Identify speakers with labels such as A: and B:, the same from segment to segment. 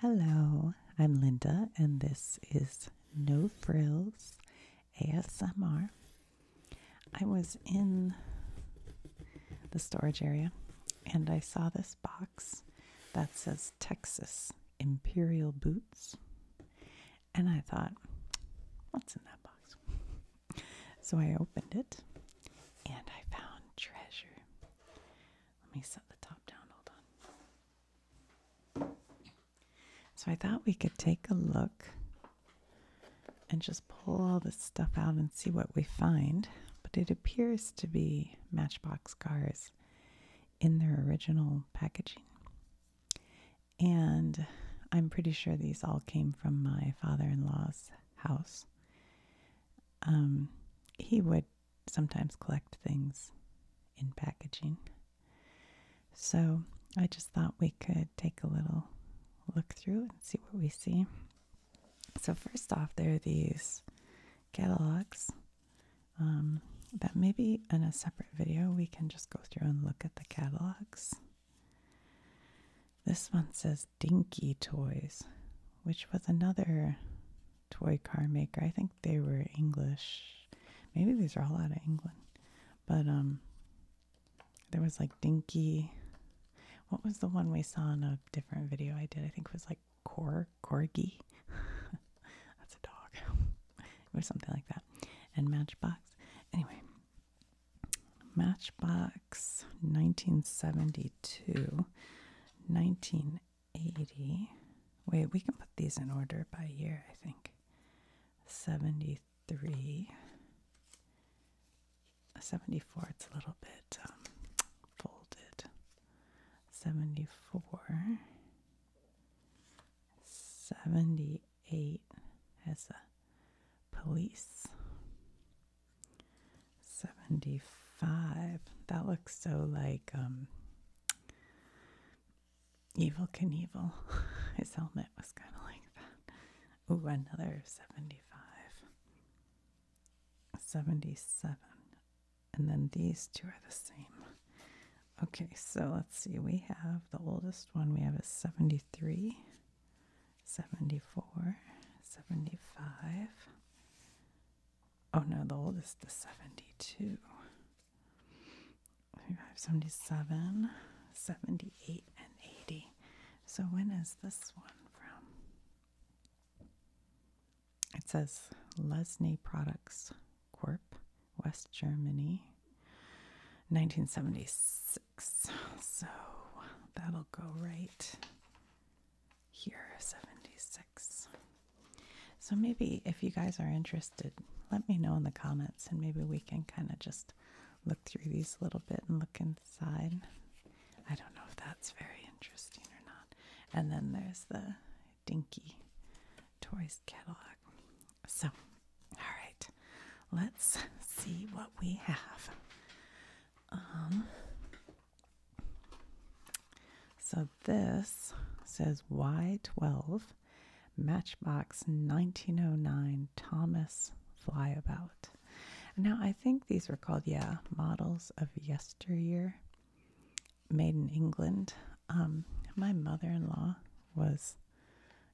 A: Hello, I'm Linda, and this is No Frills ASMR. I was in the storage area and I saw this box that says Texas Imperial Boots, and I thought, what's in that box? So I opened it and I found treasure. Let me set the top down. Hold on. So I thought we could take a look and just pull all this stuff out and see what we find. But it appears to be Matchbox cars in their original packaging. And I'm pretty sure these all came from my father in law's house. Um, he would sometimes collect things in packaging. So I just thought we could take a little look through and see what we see. So, first off, there are these catalogs um, that maybe in a separate video we can just go through and look at the catalogs. This one says Dinky Toys, which was another toy car maker. I think they were English. Maybe these are all out of England. But um there was like Dinky. What was the one we saw in a different video I did? I think it was like Cor Corgi. That's a dog. it something like that. And Matchbox. Anyway, Matchbox 1972, 19 80. Wait, we can put these in order by year, I think. 73. 74, it's a little bit um, folded. 74. 78 as a police. 75. That looks so like um, Evil Knievel. His helmet was kind of like that. Ooh, another 75. 77. And then these two are the same. Okay, so let's see. We have the oldest one we have is 73, 74, 75, Oh no, the oldest is 72. 77, 78, and 80. So when is this one from? It says Lesney Products Corp, West Germany, 1976. So that'll go right here 76 so maybe if you guys are interested let me know in the comments and maybe we can kind of just look through these a little bit and look inside i don't know if that's very interesting or not and then there's the dinky toys catalog so all right let's see what we have um so this says Y12 Matchbox 1909 Thomas Flyabout. Now I think these were called, yeah, models of yesteryear, made in England. Um, my mother-in-law was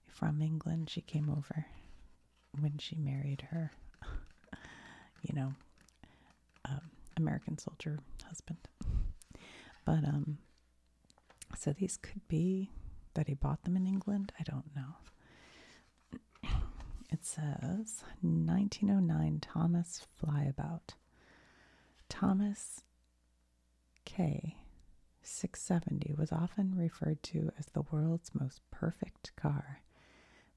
A: from England. She came over when she married her, you know, um, American soldier husband. But um, so these could be that he bought them in England. I don't know. It says 1909 Thomas Flyabout. Thomas K. 670 was often referred to as the world's most perfect car.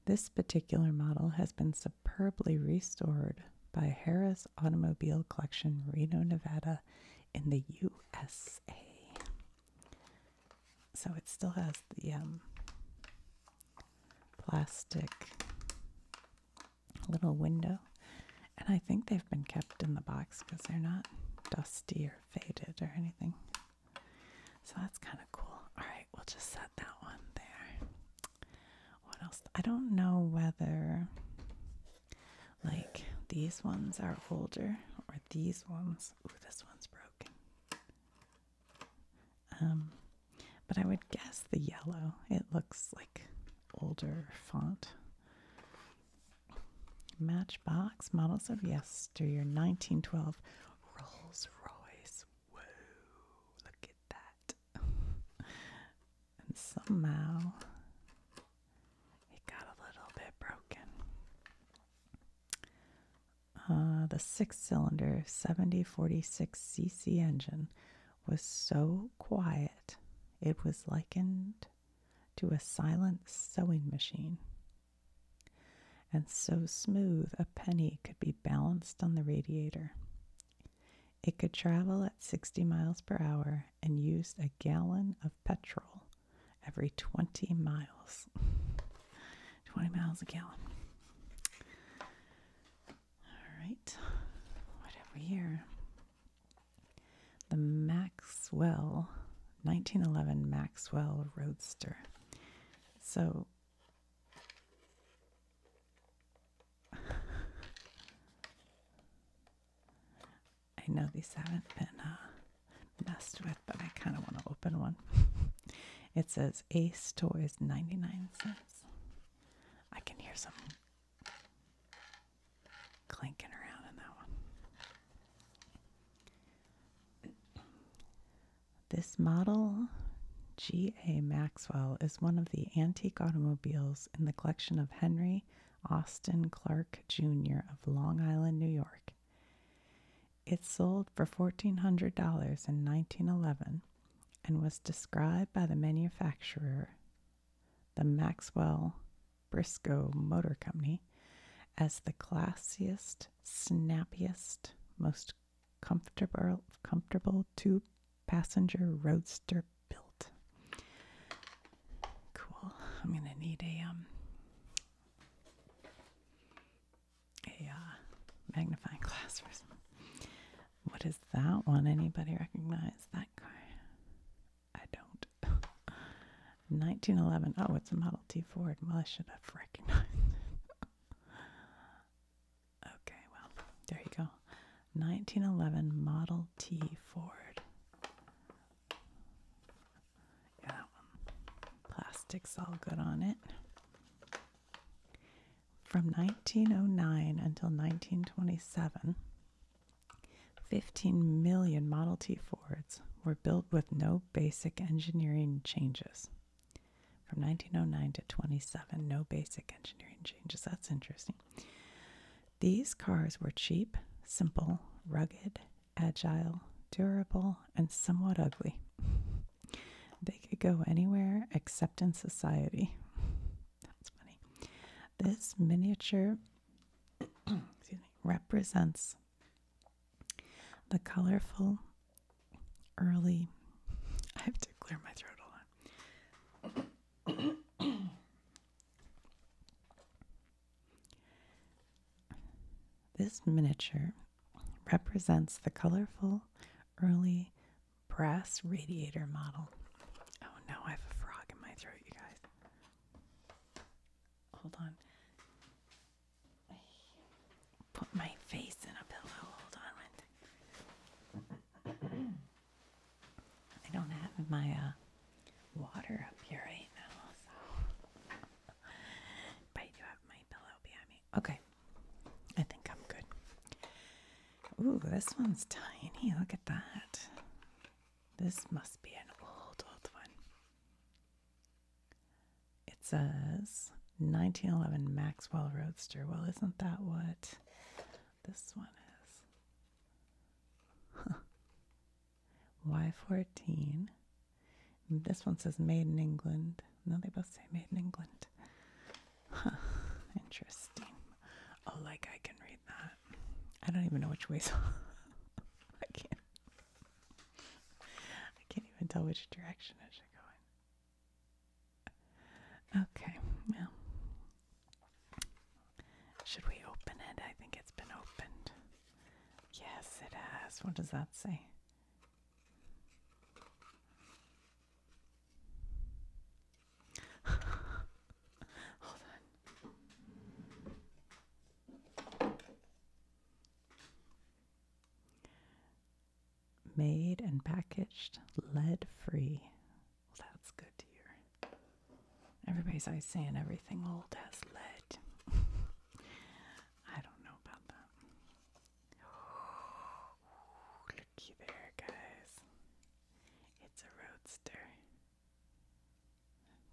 A: This particular model has been superbly restored by Harris Automobile Collection, Reno, Nevada, in the USA. So it still has the um, plastic little window, and I think they've been kept in the box because they're not dusty or faded or anything. So that's kind of cool. All right, we'll just set that one there what else? I don't know whether like these ones are older or these ones. Ooh, this one's broken. Um, but I would guess the yellow. It looks like older font. Matchbox models of yesteryear, 1912. Rolls Royce. Whoa, look at that and somehow it got a little bit broken. Uh, the six cylinder 7046 cc engine was so quiet it was likened to a silent sewing machine and so smooth a penny could be balanced on the radiator. It could travel at 60 miles per hour and used a gallon of petrol every 20 miles. 20 miles a gallon. All right, what have we here? The Maxwell, 1911 Maxwell Roadster. So, I know these haven't been uh, messed with, but I kind of want to open one. it says Ace Toys 99 cents. I can hear some clinking around in that one. This model G.A. Maxwell is one of the antique automobiles in the collection of Henry Austin Clark Jr. of Long Island, New York. It sold for $1,400 in 1911 and was described by the manufacturer, the Maxwell Briscoe Motor Company, as the classiest, snappiest, most comfortable, comfortable two passenger roadster built. Cool. I'm going to need a, um, a uh, magnifying glass or something. What is that one? Anybody recognize that car? I don't. 1911. Oh, it's a Model T Ford. Well, I should have recognized. Okay, well, there you go. 1911 Model T Ford. Yeah, Plastic's all good on it. From 1909 until 1927, 15 million Model T Fords were built with no basic engineering changes. From 1909 to 27, no basic engineering changes. That's interesting. These cars were cheap, simple, rugged, agile, durable, and somewhat ugly. They could go anywhere except in society. That's funny. This miniature represents the colorful early. I have to clear my throat. a lot. this miniature represents the colorful early brass radiator model. Oh no, I have a frog in my throat, you guys. Hold on put my face in a pillow. Hold on I don't have my uh, water up here right now, but I do have my pillow behind me. Okay. I think I'm good. Ooh, this one's tiny. Look at that. This must be an old, old one. It says 1911 Maxwell Roadster. Well, isn't that what this one is? Huh. Y14. This one says made in England. No, they both say made in England. Interesting. Oh, like I can read that. I don't even know which way. I can't. I can't even tell which direction I should go in. Okay, well, should we open it? I think it's been opened. Yes, it has. What does that say? Hold on made and packaged lead free. Well, that's good to hear. Everybody's always saying everything old has lead. I don't know about that. looky there, guys. It's a roadster.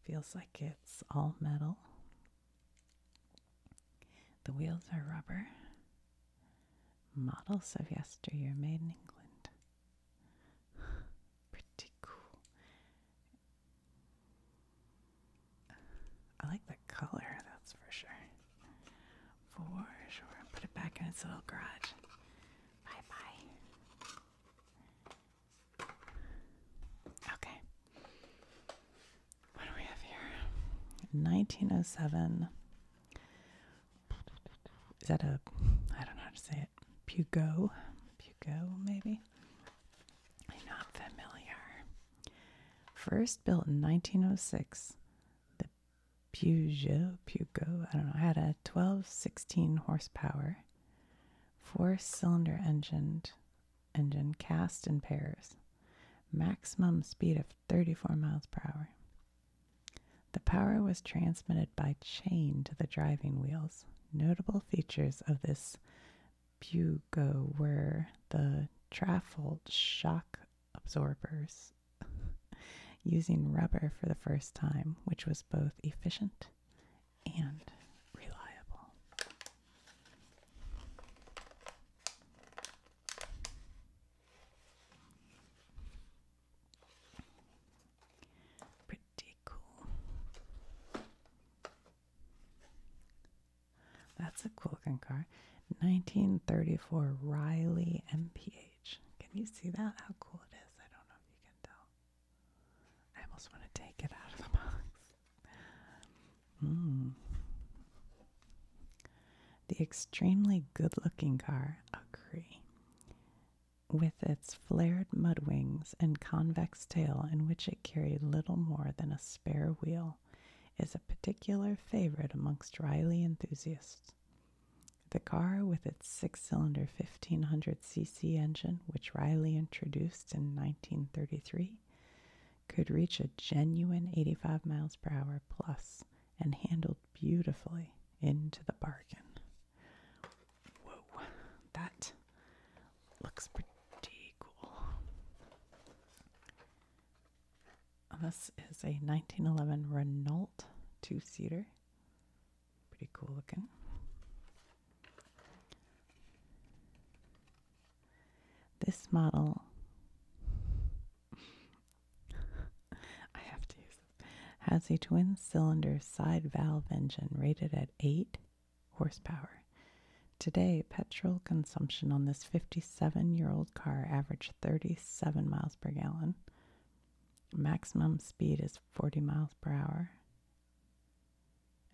A: Feels like it's all metal. The wheels are rubber. Models of yesteryear made in England. Pretty cool. I like the color, that's for sure. For sure. Put it back in its little garage. Bye bye. Okay. What do we have here? 1907. Is that a, I don't know how to say it, Pugo? Pugo, maybe? not familiar. First built in 1906, the Peugeot, Pugo, I don't know, had a 12, 16 horsepower, four cylinder engined engine cast in pairs, maximum speed of 34 miles per hour. The power was transmitted by chain to the driving wheels. Notable features of this bugle were the trifold shock absorbers using rubber for the first time, which was both efficient and reliable. Pretty cool. That's a cool looking car. 1934 Riley MPH. Can you see that? How cool it is. I don't know if you can tell. I almost want to take it out of the box. Hmm. The extremely good looking car, agree, with its flared mud wings and convex tail, in which it carried little more than a spare wheel, is a particular favorite amongst Riley enthusiasts. The car, with its six cylinder 1500cc engine, which Riley introduced in 1933, could reach a genuine 85 miles per hour plus and handled beautifully into the bargain. Whoa, that looks pretty cool. This is a 1911 Renault two seater. Pretty cool looking. This model I have to use Has a twin cylinder side valve engine rated at 8 horsepower. Today, petrol consumption on this 57 year old car averaged 37 miles per gallon. Maximum speed is 40 miles per hour.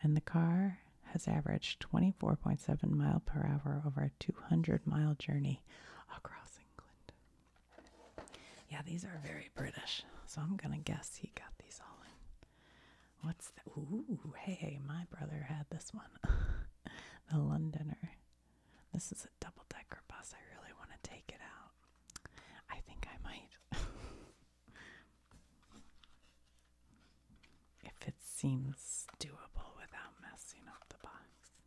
A: And the car has averaged 24.7 mile per hour over a 100 mile journey across England. Yeah, these are very British, so I'm gonna guess he got these all in. What's the ooh? Hey, my brother had this one, the Londoner. This is a double decker bus. I really want to take it out. I think I might. if it seems doable without messing up the box.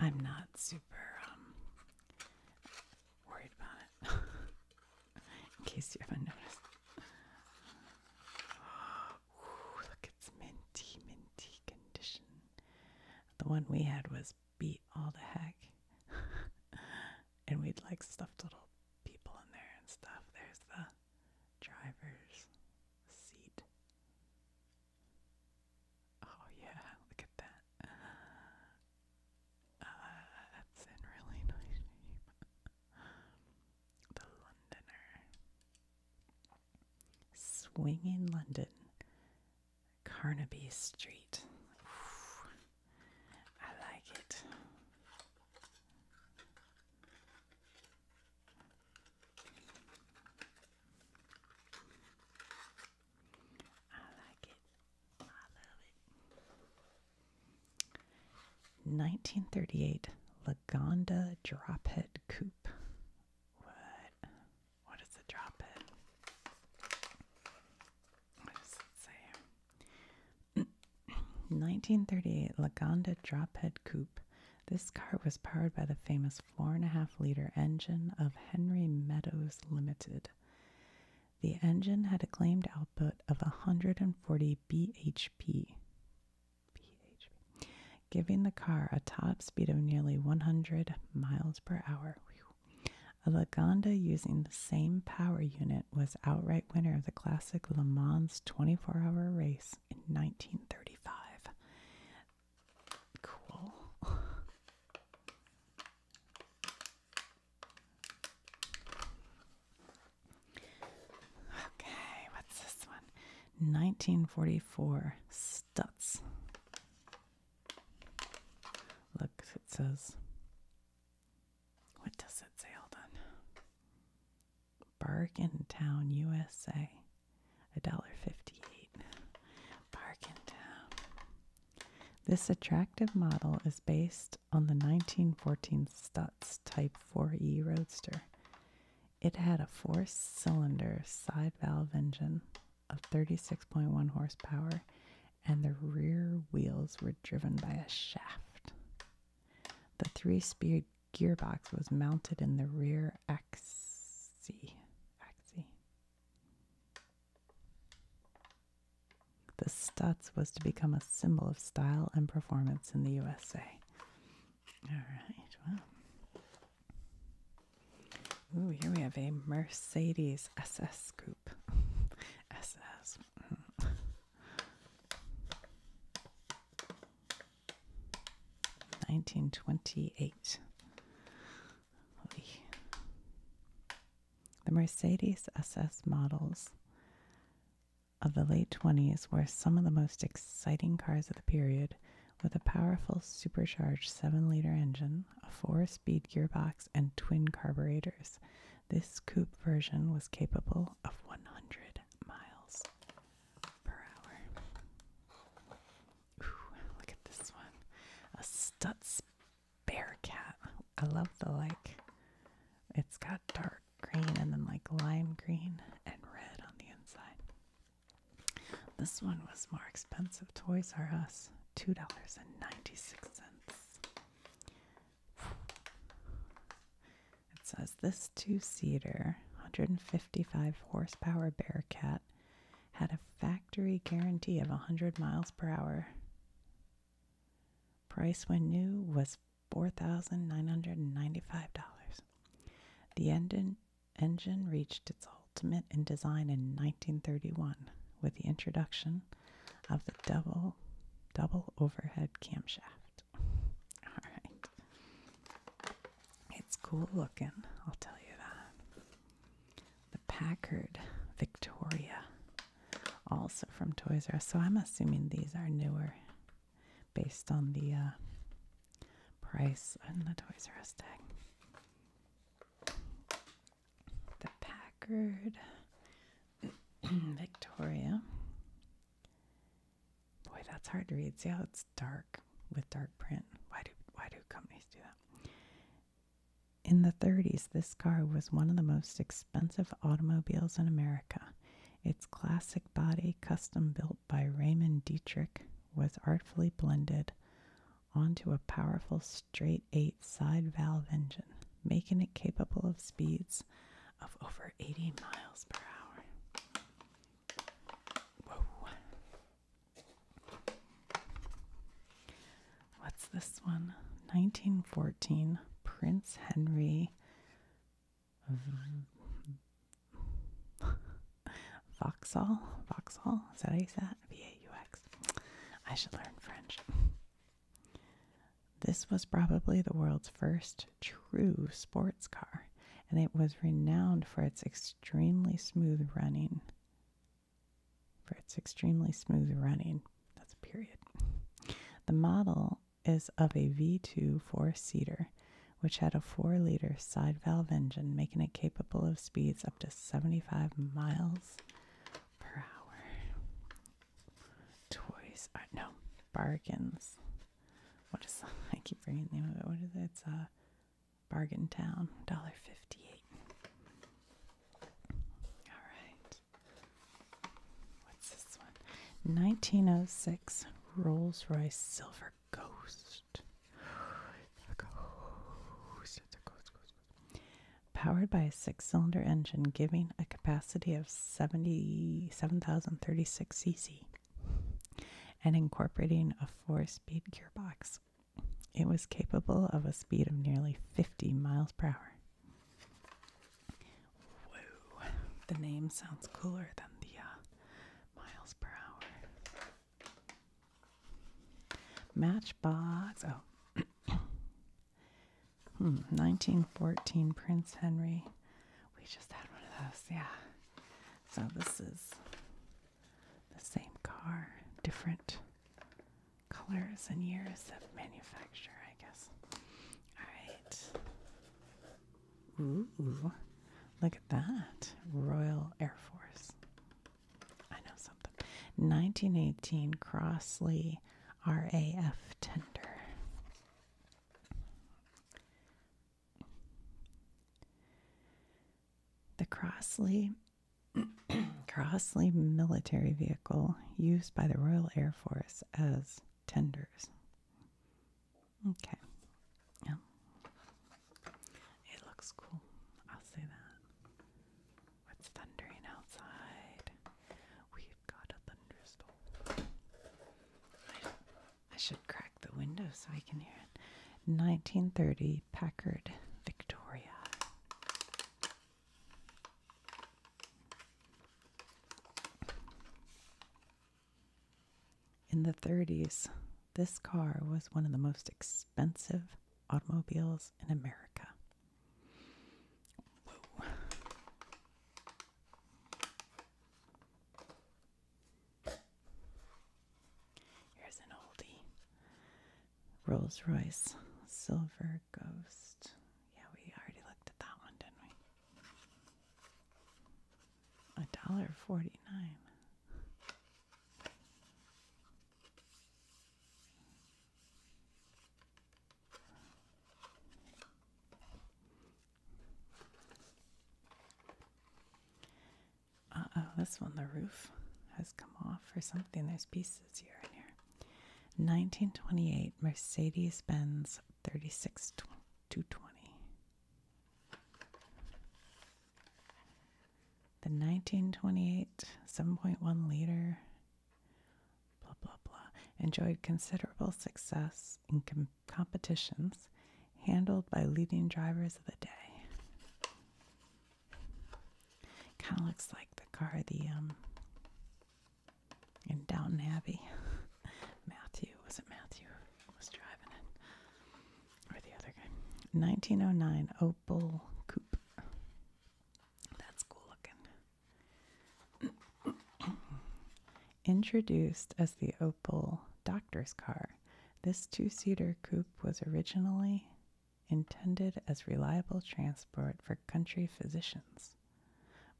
A: I'm not super um, worried about it, in case you haven't noticed. look, it's minty, minty condition. The one we had was beat all the heck, and we'd like stuffed little people in there and stuff. There's the drivers seat. Oh yeah, look at that. Uh, that's in really nice the Londoner. Swing in London. Carnaby Street. I like it. I like it. I love it. 1938 Lagonda Drophead Coupe. What? What is a drophead? What does it say? 1938 Lagonda Drophead Coupe this car was powered by the famous 4.5 liter engine of Henry Meadows Limited. The engine had a claimed output of 140 bhp, giving the car a top speed of nearly 100 miles per hour. A Lagonda using the same power unit was outright winner of the classic Le Mans 24 hour race in 1935. Cool. Okay, what's this one? 1944 Stutz. Look, it says. What does it say? Hold on. Bargain Town, USA. $1.58. Bargain Town. This attractive model is based on the 1914 Stutz Type 4E Roadster. It had a four cylinder side valve engine of 36.1 horsepower, and the rear wheels were driven by a shaft. The three speed gearbox was mounted in the rear axis. Axi. The Stutz was to become a symbol of style and performance in the USA. All right, well. Ooh, here we have a Mercedes SS coupe. SS. 1928. The Mercedes SS models of the late 20s were some of the most exciting cars of the period, with a powerful supercharged 7 liter engine, a 4 speed gearbox, and twin carburetors. This coupe version was capable of 100 miles per hour. Ooh, look at this one. A Stutz bear I love the like, it's got dark green and then like lime green and red on the inside. This one was more expensive. Toys R Us, $2.96. It says this two seater, 155 horsepower Bearcat had a factory guarantee of 100 miles per hour. Price when new was $4,995. The engine, engine reached its ultimate in design in 1931 with the introduction of the double double overhead camshaft. All right. It's cool looking, I'll tell you that. The Packard Victoria, also from Toys R Us. So I'm assuming these are newer based on the uh, price and the Toys R Us tag. The Packard Victoria Boy, that's hard to read. See how it's dark with dark print. Why do why do companies do that? In the 30s, this car was one of the most expensive automobiles in America. Its classic body, custom built by Raymond Dietrich, was artfully blended onto a powerful straight eight side valve engine, making it capable of speeds of over 80 miles per hour. What's this one? 1914 Prince Henry Vauxhall. Vauxhall? Is that how you say that? V A U X. I should learn French. This was probably the world's first true sports car and it was renowned for its extremely smooth running. For its extremely smooth running. That's a period. The model is of a V2 four seater, which had a 4 liter side valve engine, making it capable of speeds up to 75 miles per hour. Toys no bargains what is I keep forgetting the name of it. What is it? It's a uh, Bargain Town, dollar fifty-eight. All right. What's this one? Nineteen oh six Rolls Royce Silver Ghost. It's ghost. ghost, ghost, ghost. Powered by a six-cylinder engine, giving a capacity of seventy-seven thousand thirty-six cc and incorporating a four speed gearbox. It was capable of a speed of nearly 50 miles per hour. the name sounds cooler than the uh, miles per hour. Matchbox, oh, 1914 hmm. Prince Henry. We just had one of those, yeah. So this is the same car, different colors and years of manufacture, I guess. All right. Ooh, look at that. Royal Air Force. I know something. 1918 Crossley RAF tender. The Crossley Crossley military vehicle used by the Royal Air Force as tenders. Okay. Yeah. It looks cool. I'll say that. It's thundering outside. We've got a thunderstorm. I should crack the window so I can hear it. 1930 Packard Victoria. In the 30s, this car was one of the most expensive automobiles in America. Here's an oldie Rolls Royce Silver Ghost. Yeah, we already looked at that one, didn't we? A dollar forty nine. Uh oh, this one, the roof has come off or something. There's pieces here and here. 1928 Mercedes Benz 36 220. The 1928 7.1 liter, blah, blah, blah, enjoyed considerable success in competitions handled by leading drivers of the day. Kind of looks like the car the um in Downton Abbey. Matthew was it Matthew was driving it, or the other guy? 1909 Opel Coupe. That's cool looking. Introduced as the Opel doctor's car, this two seater coupe was originally intended as reliable transport for country physicians,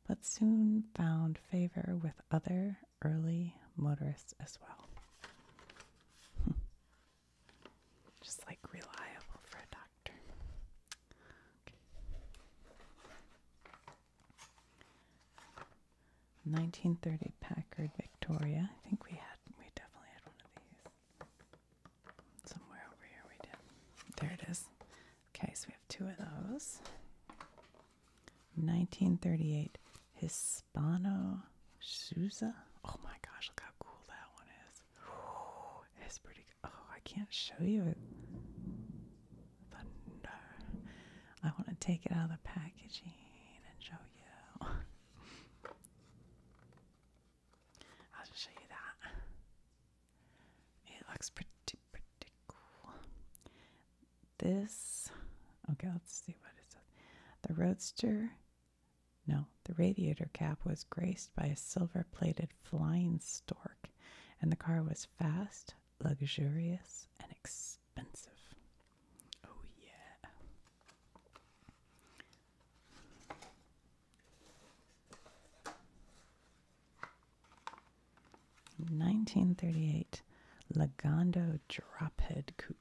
A: but soon found favor with other early motorists as well. Just like reliable for a doctor. 1930 Packard Victoria. I think we had we definitely had one of these. Somewhere over here we did. There it is. Okay, so we have two of those. 1938 Hispano Sousa. Oh my gosh, look how cool that one is. it's pretty. Oh, I can't show you it thunder. I want to take it out of the packaging and show you. I'll just show you that. It looks pretty, pretty cool. This, okay, let's see what it says. The Roadster, no, the radiator cap was graced by a silver plated flying stork, and the car was fast, luxurious, and exciting expensive. Oh, yeah. Nineteen thirty eight Lagondo Drophead Coupe.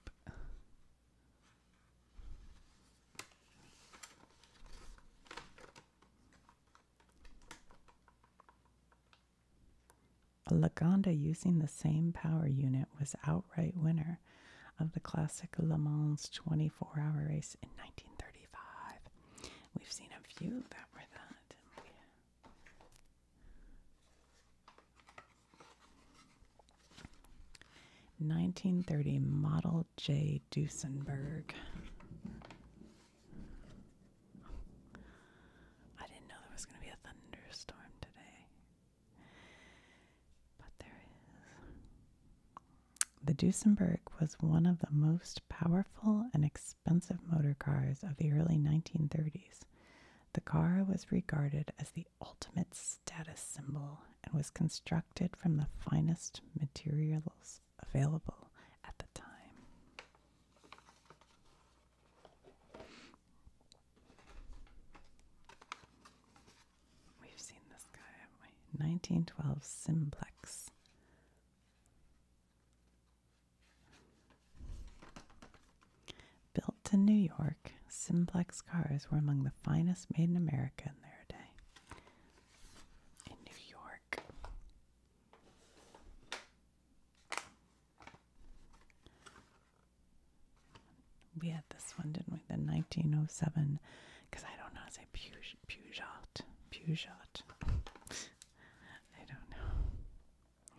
A: A Lagonda, using the same power unit, was outright winner of the classic Le Mans 24 hour race in 1935. We've seen a few that were that. Nineteen thirty Model J Duesenberg. I didn't know there was going to be a thunderstorm today. But there is. The Duesenberg was one of the most powerful and expensive motor cars of the early 1930s. The car was regarded as the ultimate status symbol and was constructed from the finest materials available at the time.
B: We've seen this guy, haven't we?
A: 1912 Simplex. Built in New York, Simplex cars were among the finest made in America in their day. In New York. We had this one, didn't we? The 1907, because I don't know how to say Peugeot. Peugeot. Peugeot. I don't know.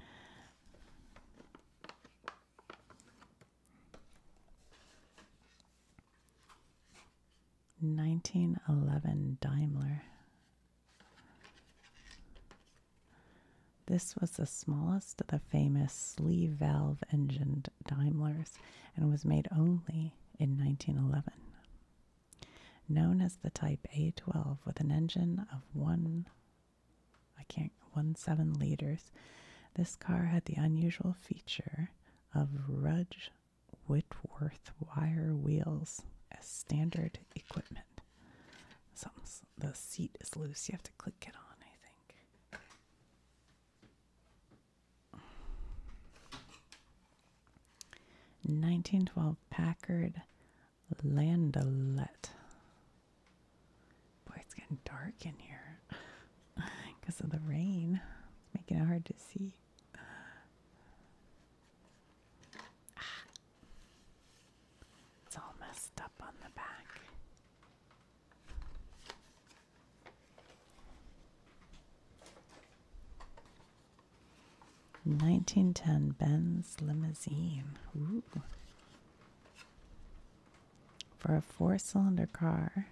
A: Nineteen eleven Daimler. This was the smallest of the famous sleeve valve engined Daimlers and was made only in 1911. Known as the Type A12 with an engine of 1 I can't 17 liters, this car had the unusual feature of Rudge Whitworth wire wheels as standard equipment. Something's the seat is loose. You have to click it on, I think. 1912 Packard Landaulet. Boy, it's getting dark in here because of the rain. It's making it hard to see. Ah, it's all messed up on the back. Nineteen ten Benz limousine. For a four cylinder car,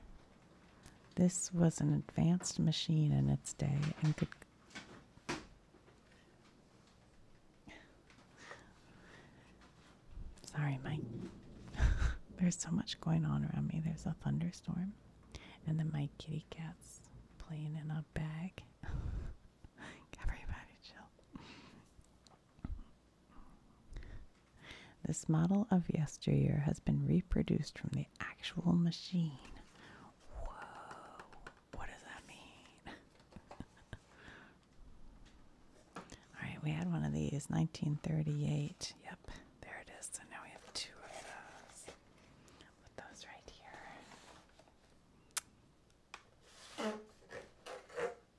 A: this was an advanced machine in its day and could Sorry, Mike. There's so much going on around me. There's a thunderstorm, and then my kitty cat's playing in a bag. Everybody chill. This model of yesteryear has been reproduced from the actual machine. Whoa. What does that mean? All right, we had one of these, 1938. Yep, there it is. So now we have two of those. Put those right here.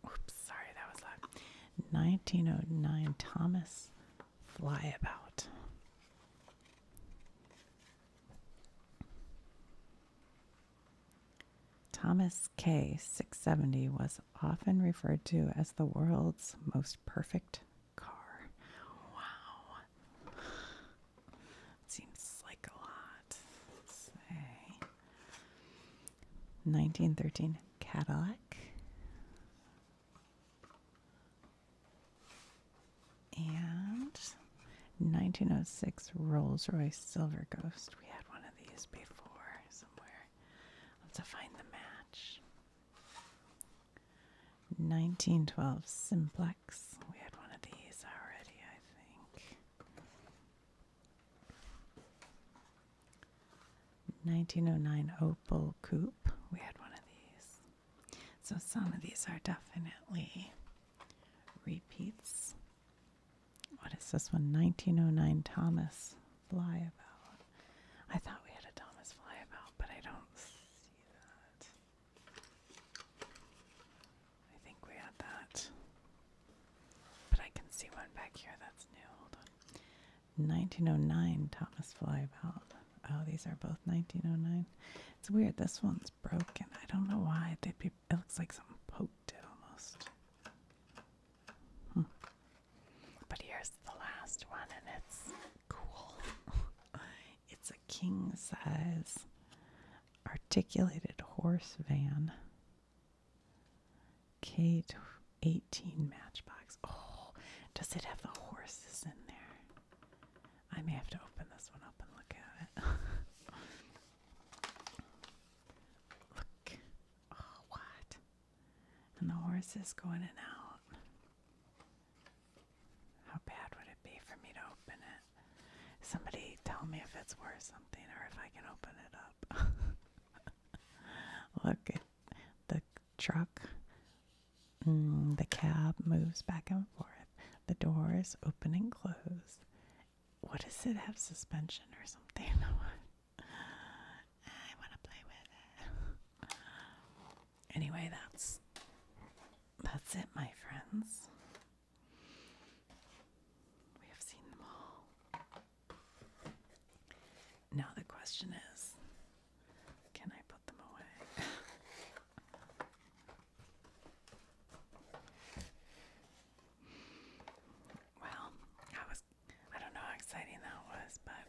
A: Oops, sorry, that was loud. 1909 Thomas Flyabout. Thomas K. 670 was often referred to as the world's most perfect car. Wow. Seems like a lot. say 1913 Cadillac. And 1906 Rolls Royce Silver Ghost. We had one of these before somewhere. Let's find the match. 1912 Simplex. We had one of these already, I think. 1909 Opal Coupe. We had one of these. So some of these are definitely repeats. What is this one? 1909 Thomas Flyabout. I thought we had a Thomas Flyabout, but I don't see that. I think we had that. But I can see one back here that's new. Hold on. 1909 Thomas Flyabout. Oh, these are both 1909. It's weird. This one's broken. I don't know why they'd be it looks like something poked it almost. Hmm. But here's the last one, and it's cool. it's a king size articulated horse van. K 18 matchbox. Oh, does it have the horses in there? I may have to open this one up and look at it. look. Oh, what? And the horse is going in and out. How bad would it be for me to open it? Somebody tell me if it's worth something or if I can open it up. Look at the truck. Mm, the cab moves back and forth. The doors open and close. What does it have suspension or something? I want to play with it. anyway, that's that's it, my friends. We have seen them all. Now the question is, can I put them away? Well, I was I don't know how exciting that was, but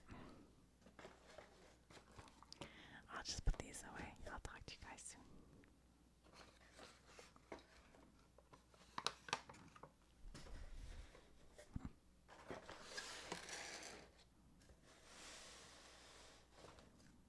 A: I'll just put these away. I'll talk to you guys soon.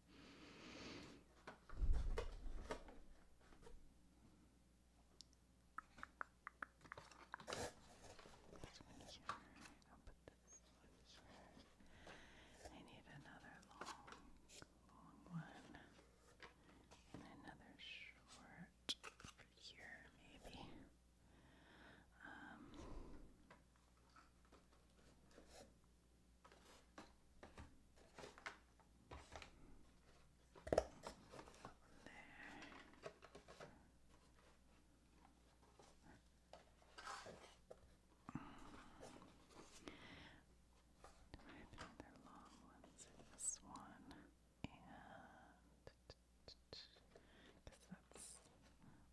A: This one i need another long, long one. And another short here, maybe. Um, there. There are long ones in this one, and that's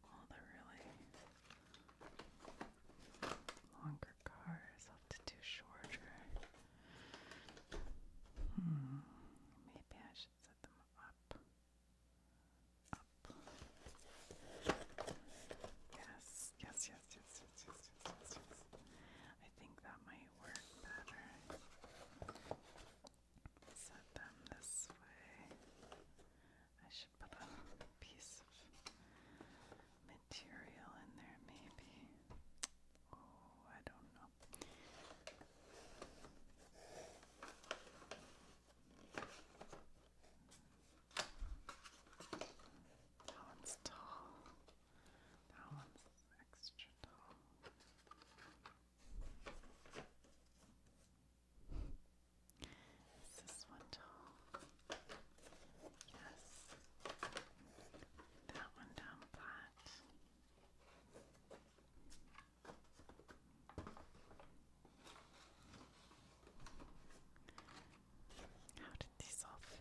A: all the really longer cars something to do shorter. Hmm, maybe I should set them up. Up. yes, yes, yes, yes, yes, yes, yes. I think that might work better. Set them this way. I should put a piece of material in there, maybe. Oh, I don't know. That one's tall. That one's extra tall. Is this one tall? Yes. That one down flat. How did these all fit?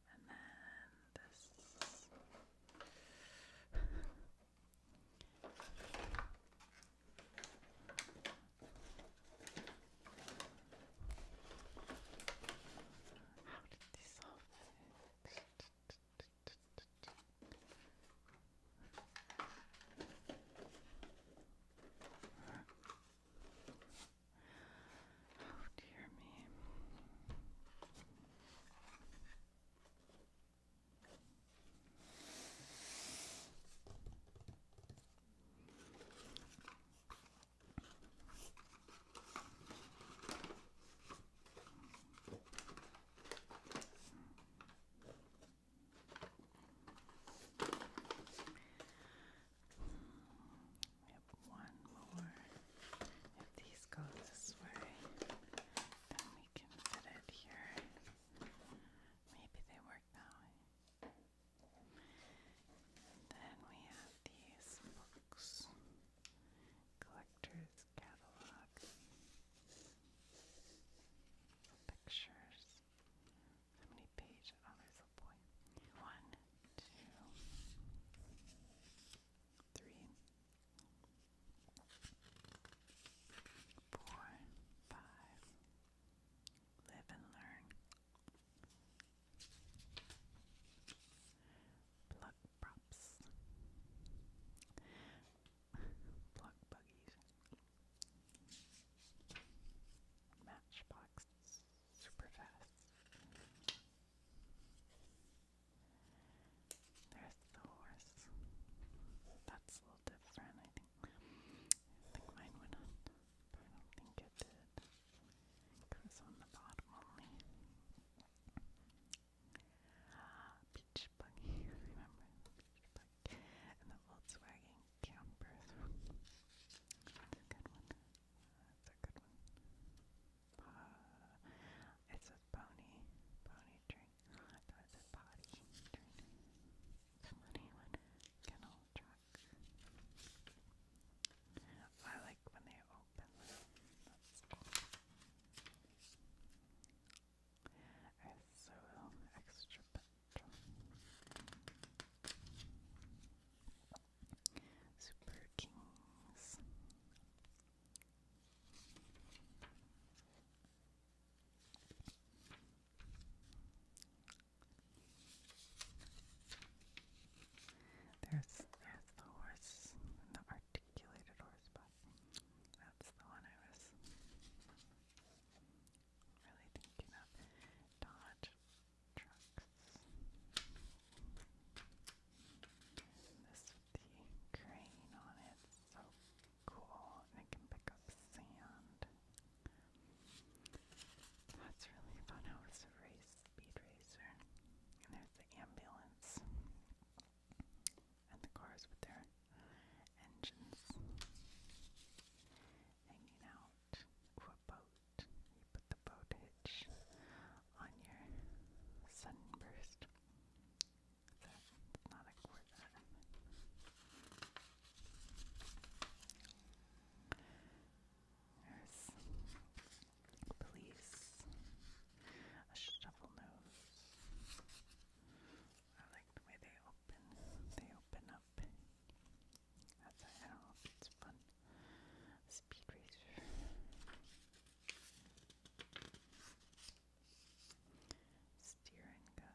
A: And then this. How did this all fit? Oh dear me. We have one more. If these go this way, then we can fit it here. Maybe they work that then we have these books. Collector's catalog. Pictures. How many pages? Oh, there's a One, two, three, four, five. Live and learn. Plug props. Plug buggies. Matchbox super fast. There's the horse. That's a little different, I think. I think mine went on, but I don't think it did. It was on the bottom only. Ah, beach buggy, remember And the Volkswagen campers. That's a good one. That's a good one. Uh, it pony, pony train. I thought potty train. It's a funny one. Kennel truck. I like when they open them. so extra Super Kings. There's there's the horse, the articulated horse, but that's the one I was really thinking of. Dodge trucks. this with the crane on it, so cool, and can pick up sand. That's really fun. I it's a race speed racer, and there's the ambulance and the cars with their engines hanging out. Ooh, a boat. You put the boat hitch on your sunburst. So not a cord There's police, a shovel nose. I like the way they open. They open up. That's I do it's fun. Speed Racer. Steer Go.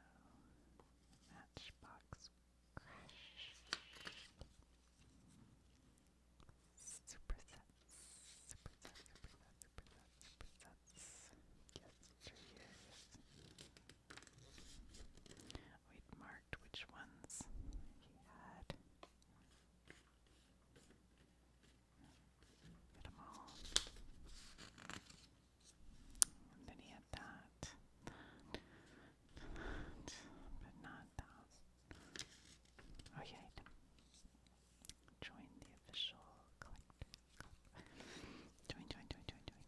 A: Matchbox Crash. Supersets. Supersets, supersets, supersets, supersets. Yes, it sure is. We'd marked which ones he had. Get them all. then he had that. But not that. Oh, Join the official collector. Join, join, join, join, join.